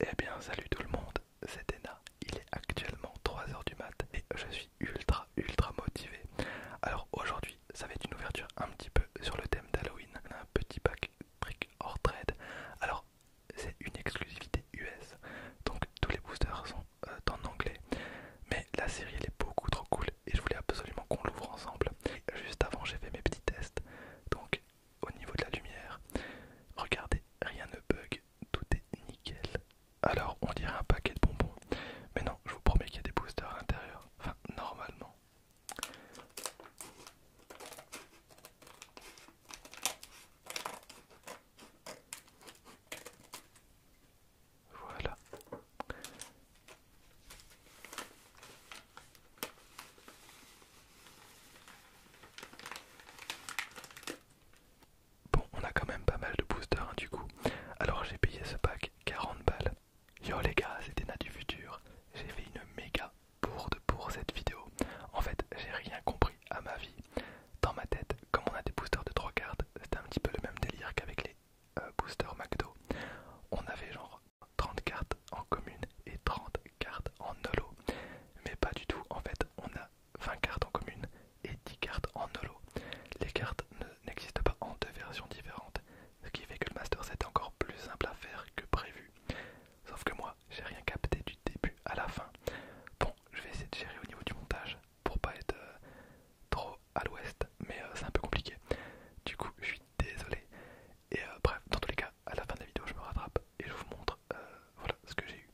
Eh bien salut tout le monde, c'est Dena, il est actuellement 3h du mat et je suis ultra ultra motivé. Alors aujourd'hui ça va être une ouverture un petit peu sur le thème d'Halloween, un petit pack brick or trade. Alors c'est une exclusivité US, donc tous les boosters sont euh, en anglais, mais la série elle est beaucoup trop cool et je voulais absolument qu'on l'ouvre ensemble. juste avant j'ai fait mes petits tests, donc au niveau de la lumière. Regardez, rien ne bug, tout est nickel. Alors on dirait un paquet de bonbons, mais non, je vous promets qu'il y a des boosters à l'intérieur. Enfin, normalement. Voilà. Bon, on a quand même pas mal de boosters hein, du coup. Alors j'ai payé ce pack 40 balles. Yo les gars, c'était Nat du futur. J'ai fait une méga bourde pour cette vidéo. En fait, j'ai rien compris à ma vie. Dans ma tête, comme on a des boosters de 3 cartes, c'était un petit peu le même délire qu'avec les euh, boosters McDo. On avait genre 30 cartes en commune et 30 cartes en holo. Mais pas du tout, en fait on a 20 cartes en commune et 10 cartes en holo. Les cartes n'existent pas en deux versions différentes, ce qui fait que le master set est encore plus simple à faire que prévu. Sauf que moi j'ai rien capté du début à la fin. Bon, je vais essayer de gérer au niveau du montage pour pas être euh, trop à l'ouest, mais euh, c'est un peu compliqué. Du coup, je suis désolé. Et euh, bref, dans tous les cas, à la fin de la vidéo, je me rattrape et je vous montre euh, voilà ce que j'ai eu.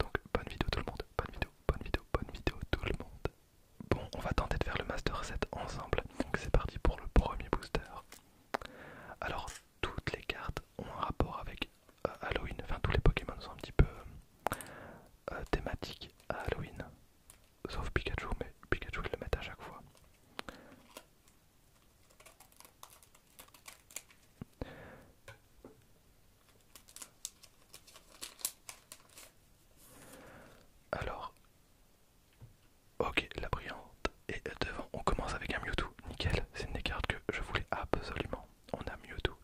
Donc, bonne vidéo tout le monde, bonne vidéo, bonne vidéo, bonne vidéo tout le monde. Bon, on va tenter de faire le Master set ensemble. Donc, c'est parti pour le premier booster. Alors, toutes les cartes ont un rapport avec euh, Halloween. Enfin, tous les Pokémon sont un petit peu thématiques à Halloween. Sauf Pikachu, mais Pikachu, le met à chaque fois. Alors, ok, la brillante est devant. On commence avec un Mewtwo, nickel. C'est une des cartes que je voulais absolument. On a Mewtwo.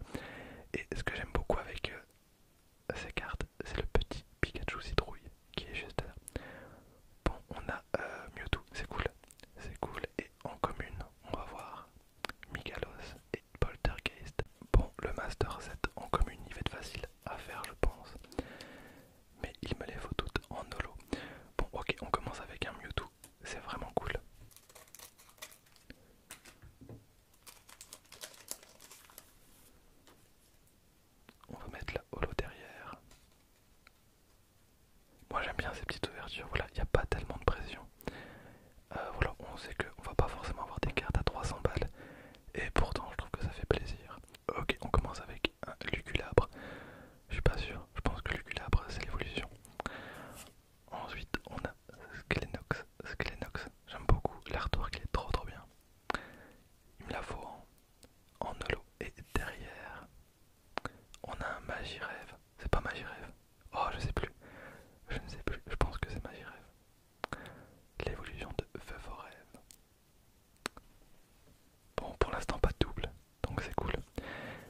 Et ce que j'aime beaucoup avec euh, ces cartes, c'est le petit Pikachu citrouille qui est juste là. Bon, on a euh, Mewtwo, c'est cool, c'est cool. Et en commune, on va voir Migalos et Poltergeist. Bon, le Master Set en commune, il va être facile à faire, je pense. Mais il me les faut toutes en holo. Bon, ok, on commence avec un Mewtwo, c'est vraiment cool. On va mettre la holo derrière. Moi j'aime bien ces petites ouvertures, voilà, il n'y a pas tellement de pression. Euh, on sait qu'on va pas forcément avoir des cartes à 300 balles, et pourtant je trouve que ça fait plaisir. Ok, on commence avec un Luculabre. Je suis pas sûr, je pense que Luculabre c'est l'évolution. Ensuite on a Skelenox. Skelenox, j'aime beaucoup, l'artwork il est trop trop bien. Il me la faut hein en holo. Et derrière, on a un rêve. C'est pas magie rêve. Oh, je sais plus. Je ne sais plus. Je pense que c'est magie rêve. L'évolution de Feu Rêve. Bon, pour l'instant, pas de double. Donc c'est cool.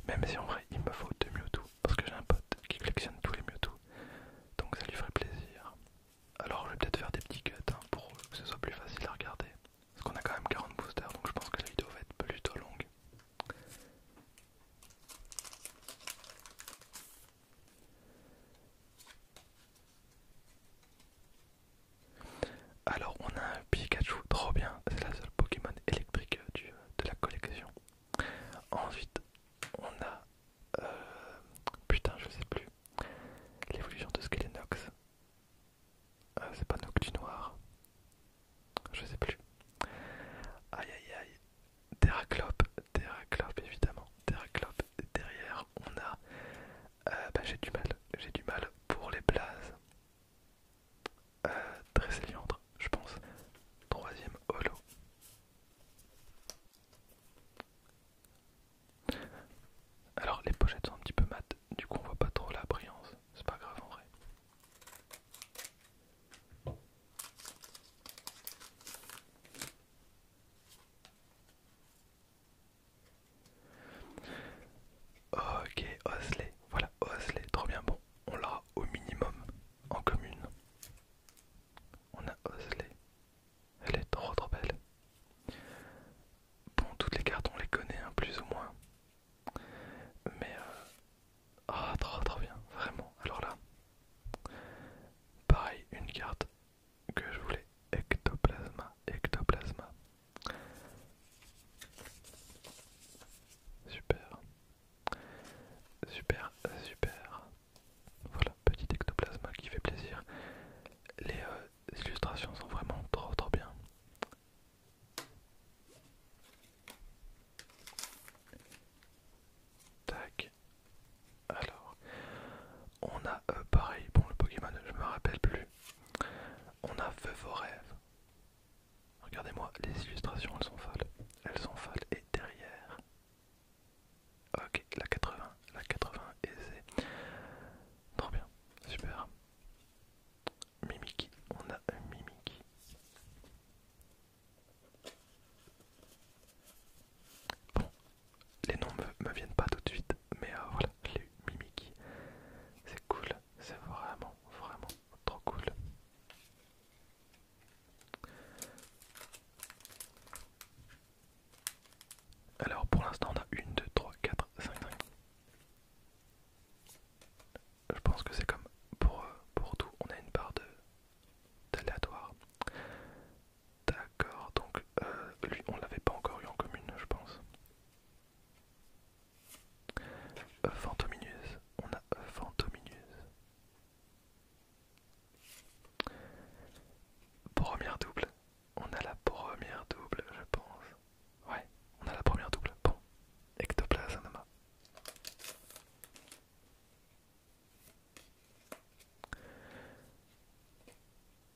Même si en vrai, il me faut deux Mewtwo. Parce que j'ai un pote qui collectionne tous les Mewtwo. Donc ça lui ferait plaisir. Alors je vais peut-être faire des petits cuts hein, pour que ce soit plus facile à regarder. Parce qu'on a quand même 40 boosters, donc je pense que la vidéo va être plutôt longue. Alors on a un Pikachu, trop bien, c'est la seule Pokémon électrique de la collection. Ensuite on a... Euh, putain je sais plus. L'évolution de Skelenox. Ah, c'est pas Noctu Noir. Je sais plus. Aïe aïe aïe. Terraclope, Terraclope évidemment. Terraclope. Derrière, on a. Euh, bah, j'ai du mal. J'ai du mal pour les blazes. Euh, Liandre, je pense. Troisième holo. Alors les pochettes sont un petit peu mates, du coup on voit pas trop la brillance, c'est pas grave en vrai. Ok, Osley, voilà Osley, trop bien bon, on l'a au minimum en commune. On a Osley, elle est trop trop belle. Bon, toutes les cartes, on les connaît, un hein, plus ou moins. Mais... Ah, trop, trop bien, vraiment. Alors là, pareil, une carte que je voulais. Ectoplasma, ectoplasma. Super. Super, super. Voilà, petit ectoplasma qui fait plaisir. Les euh, les illustrations sont vraiment trop trop bien. Tac. Alors, on a euh, pareil, bon le Pokémon, je me rappelle plus. On a Feu vos rêves. Regardez-moi, les illustrations, elles sont folles. Elles sont folles et derrière. Ok, la 80, la 80 aisée. Trop bien, super. Mimiki, on a un Mimiki. Bon, les noms me, viennent pas tout de suite, mais euh, voilà, les Mimiki. C'est cool, c'est vraiment, vraiment trop cool. Alors pour l'instant on a 1, 2, 3, 4, 5, 5. Je pense que c'est comme pour, euh, pour tout, on a une barre d'aléatoire. D'accord, donc euh, lui on l'avait pas encore eu en commune je pense. Euh, Fantominus, on a Fantominus. Première double, on a la première double, je pense. Ouais, on a la première double. Bon, ectoplasme.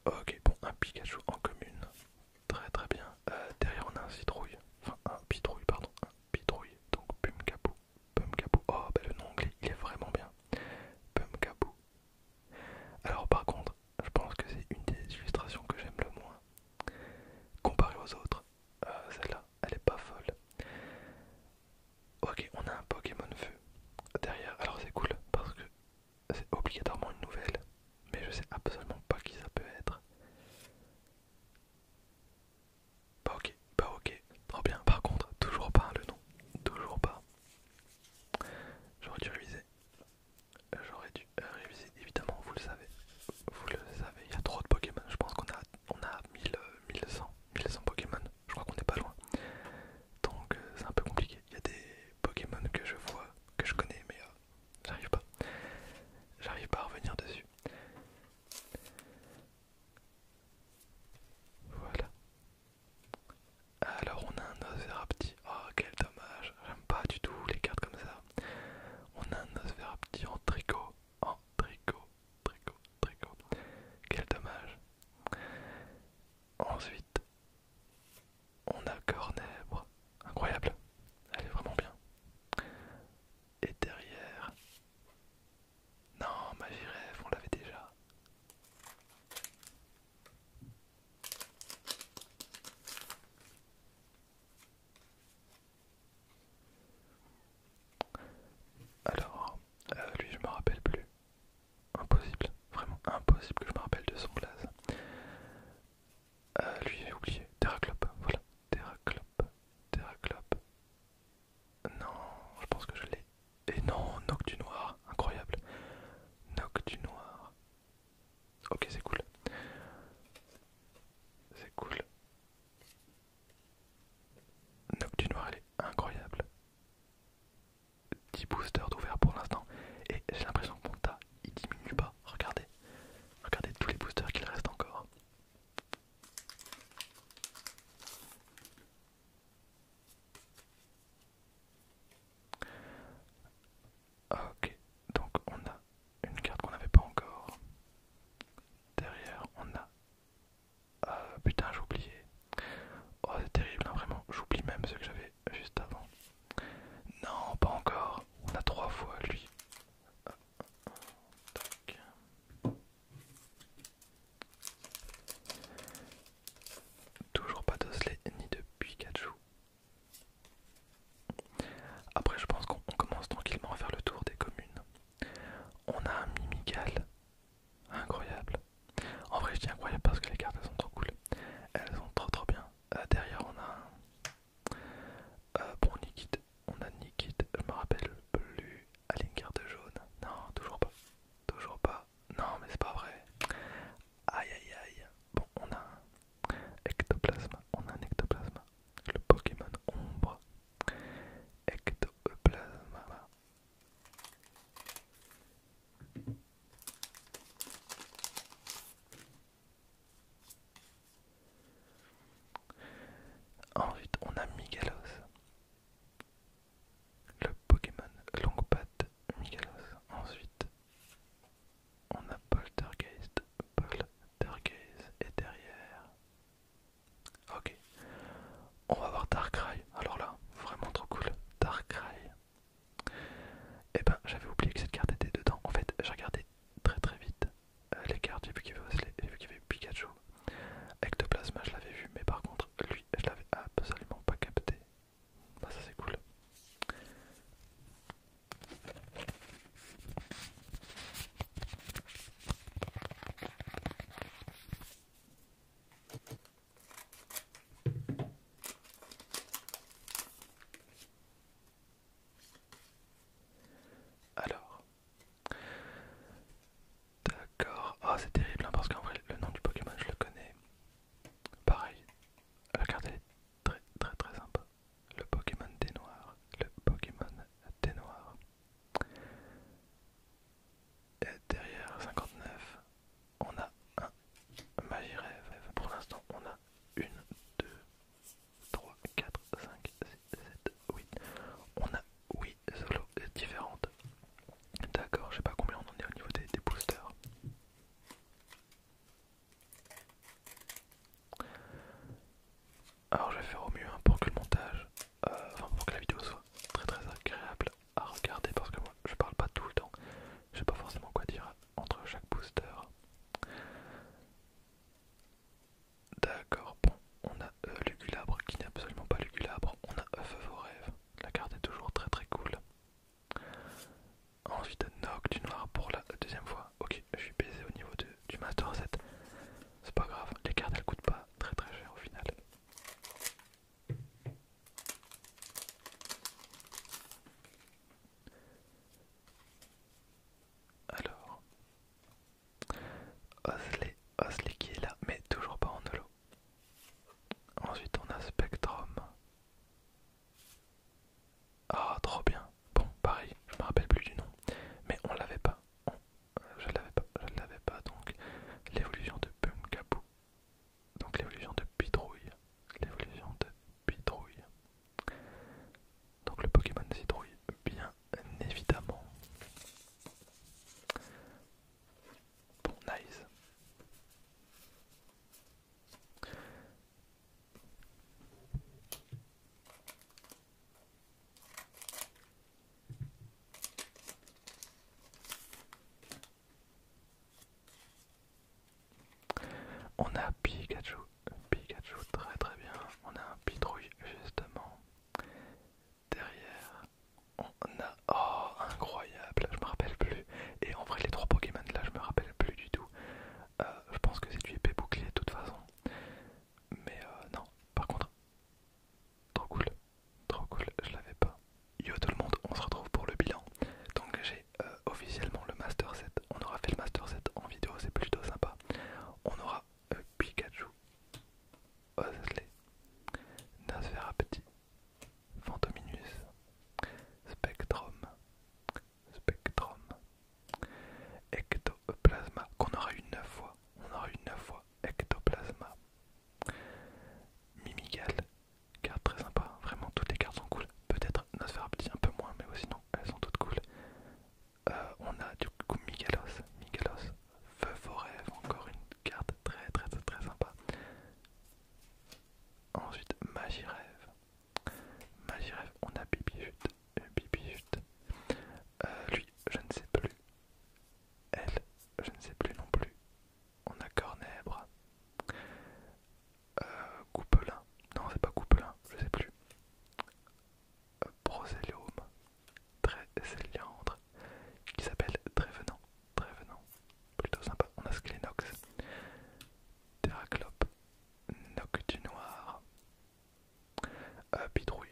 Ok, bon, un Pikachu en commune. Très très bien. Euh, derrière, on a un citrouille. Enfin, un pitrouille, pardon. Un pitrouille. Donc, pum kabou. Oh, bah le nom anglais, il est vraiment bien. Pum kabou. Alors par contre, je pense que c'est une des illustrations que j'aime le moins. comparé aux autres, euh, celle-là, elle est pas folle. Ok, on a un Pokémon Feu derrière. Alors c'est cool parce que c'est obligatoirement une nouvelle, mais je sais absolument pas qui ça peut être. Pas bah, ok, pas bah, ok, trop bien. Par contre, toujours pas le nom, toujours pas. J'aurais dû réviser. J'aurais dû euh, réviser, évidemment, vous le savez. Vous le savez, il y a trop de Pokémon. Je pense qu'on a, on a 1100, Pokémon. Je crois qu'on n'est pas loin. Donc euh, c'est un peu compliqué. Il y a des Pokémon que je vois, que je connais, mais euh, j'arrive pas. J'arrive pas à revenir dessus. Voilà. Alors on a un petit. oh quel dommage, j'aime pas du tout les cartes comme ça. On a un petit en tricot, en tricot, tricot, tricot, quel dommage. Ensuite, on a Cornèbre, incroyable, elle est vraiment bien. Et derrière, non, rêve, on l'avait déjà. Alors, euh, lui je me rappelle plus. Impossible, vraiment impossible que je me rappelle de son glace. Euh, lui j'ai oublié. Terraclop, voilà. Terraclop, Terraclop. Non, je pense que je l'ai et non, Noc du Noir, incroyable. Noc du Noir. Ok, c'est cool. C'est cool. Noc du Noir, elle est incroyable. 10 boosters d'ouvert pour l'instant. Et j'ai l'impression que mon tas, il diminue pas. Regardez. Regardez tous les boosters qu'il reste encore. Ok, donc on a une carte qu'on n'avait pas encore. Derrière, on a. Euh, putain, j'ai oublié. Oh, c'est terrible, hein, vraiment. J'oublie même ce que j'avais juste avant. Non, pas encore. On a trois fois lui. Euh, euh, tac. Toujours pas d'Osley ni de Pikachu. Après, je pense qu'on commence tranquillement à faire le tour des communes. On a un Mimical, Incroyable. En vrai, je dis incroyable parce que les cartes elles sont trop cool. Elles sont trop trop bien. Euh, derrière, on a un. Euh, bon, Nikit. On a Nikit, je me rappelle plus. une carte jaune. Non, toujours pas. Toujours pas. Non, mais c'est pas vrai. Aïe aïe aïe. Bon, on a un ectoplasme. On a un Ectoplasma. Le Pokémon ombre. Ectoplasma. Ensuite, on a Migalos le Pokémon Longpath Migalos. Ensuite, on a Poltergeist, Poltergeist et derrière. Ok, on va voir Darkrai. Alors là, vraiment trop cool. Darkrai. et eh ben, j'avais oublié que cette carte était dedans. En fait, j'ai regardé très très vite euh, les cartes. J'ai vu qu'il y avait Pikachu, Ectoplasma, je l'avais vu, mais par contre, lui, je l'avais absolument pas capté. Ah, ça, c'est cool. Alors, D'accord. Ah, c'est terrible hein, parce qu'en vrai, le nom du Pokémon, je le connais. Pareil. La carte, elle est très très très sympa. Le Pokémon des Noirs. Le Pokémon des Noirs. Et derrière 59, on a un Magirève. Pour l'instant, on a 1, 2, 3, 4, 5, 6, 7, 8. On a oui, solo est différente. D'accord, je sais pas combien on en est au niveau des, boosters. Alors je vais faire au mieux hein, pour que le montage, euh, enfin pour que la vidéo soit très très agréable à regarder parce que moi je parle pas tout le temps, je sais pas forcément quoi dire entre chaque booster. D'accord, bon, on a euh, Lugulabre qui n'est absolument pas Lugulabre, on a Œuf vos rêves, la carte est toujours très très cool. Ensuite Noc du noir pour la deuxième fois, ok je suis baisé au niveau de, du Master 7, c'est pas grave, les cartes elles coûtent pas très très cher au final. Alors, Osley, Osley qui est là, mais toujours pas en holo. Ensuite on a Spectrum. Ah, trop bien. Bon, pareil, je me rappelle plus du nom, mais on l'avait pas. je l'avais pas, je l'avais pas. Donc l'évolution de Pumkaboo. Donc l'évolution de Pitrouille. L'évolution de Pitrouille. Donc le Pokémon Citrouille, bien évidemment. Bon, nice. On a Pikachu, Pikachu très très bien, on a un pitrouille justement Derrière, on a... Oh, incroyable, je me rappelle plus. Et en vrai, les trois Pokémon là, je me rappelle plus du tout. Euh, je pense que c'est du épée bouclier de toute façon. Mais euh, non, par contre, trop cool, trop cool, je l'avais pas. Yo tout le monde, on se retrouve pour le bilan. Donc j'ai euh, officiellement le Master set On aura fait le Master set en vidéo, c'est plutôt sympa. On aura euh, Pikachu, Osley, Nosferapti, Fantominus, Spectrum, Spectrum, Ectoplasma, qu'on aura eu 9 fois, on aura eu 9 fois, Ectoplasma, Mimigal, carte très sympa, vraiment toutes les cartes sont cool, peut-être Nosferapti un peu moins, mais sinon elles sont toutes cool. Euh, on a du coup Miguelos, Migalos, Feu Forêt, encore une carte très très très, très sympa. Ensuite Magie Rêve, Magie on a Bibi euh, euh, lui, je ne sais plus. Elle, je ne sais plus non plus. On a Cornèbre, euh, non c'est pas Coupelin, je ne sais plus très céliandre qui s'appelle Trévenant. Trévenant, plutôt sympa. On a Sclénox, Terraclope, Noc du Noir, euh, Pitrouille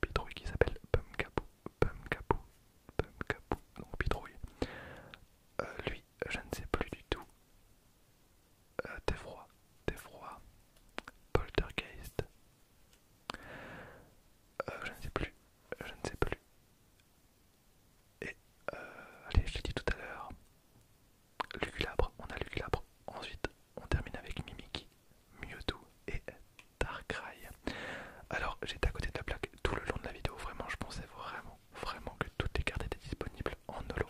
Bidrouille, qui s'appelle Pum-Capou, Pum-Capou, donc Bidrouille. Euh, lui, je ne sais plus du tout. Euh, T'es froid, Poltergeist. Euh, je ne sais plus, je ne sais plus. Et euh, allez, je l'ai dit tout à l'heure. Luculabre, on a Luculabre. Ensuite, on termine avec Mimiki, Mewtwo et Darkrai. Alors, j'étais à côté de la plaque tout le long de la vidéo. Vraiment, je pensais vraiment, vraiment que toutes les cartes étaient disponibles en holo,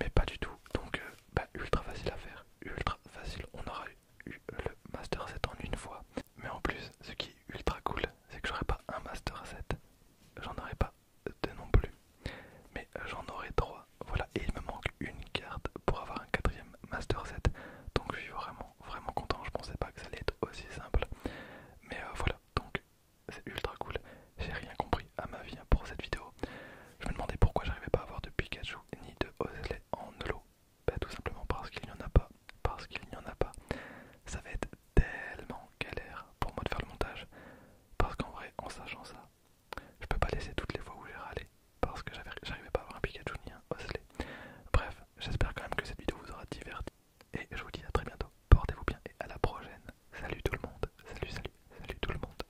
mais pas du tout. Donc, euh, bah, ultra facile à faire ultra facile. On aura eu le Master Set en une fois. Mais en plus, ce qui est ultra cool, c'est que j'aurai pas un Master Set, J'en aurai pas deux non plus. Mais j'en aurai trois. Voilà, et il me manque une carte pour avoir un quatrième Master Set, Donc je suis vraiment, vraiment content. Je pensais pas que ça allait être aussi simple. Mais euh, voilà, donc c'est ultra cool. J'ai rien compris à ma vie pour cette vidéo. Je me demandais pourquoi j'arrivais pas à avoir de Pikachu ni de Ozelay en holo. Bah tout simplement parce qu'il n'y en a pas. Parce qu'il n'y en a pas. Ça va être tellement galère pour moi de faire le montage. Parce qu'en vrai, en sachant ça, je peux pas laisser toutes les fois où j'ai râlé. Parce que j'arrivais pas à avoir un Pikachu ni un Bref, j'espère quand même que cette vidéo vous aura diverti. Et je vous dis à très bientôt. Portez-vous bien et à la prochaine. Salut tout le monde. Salut, salut, salut tout le monde.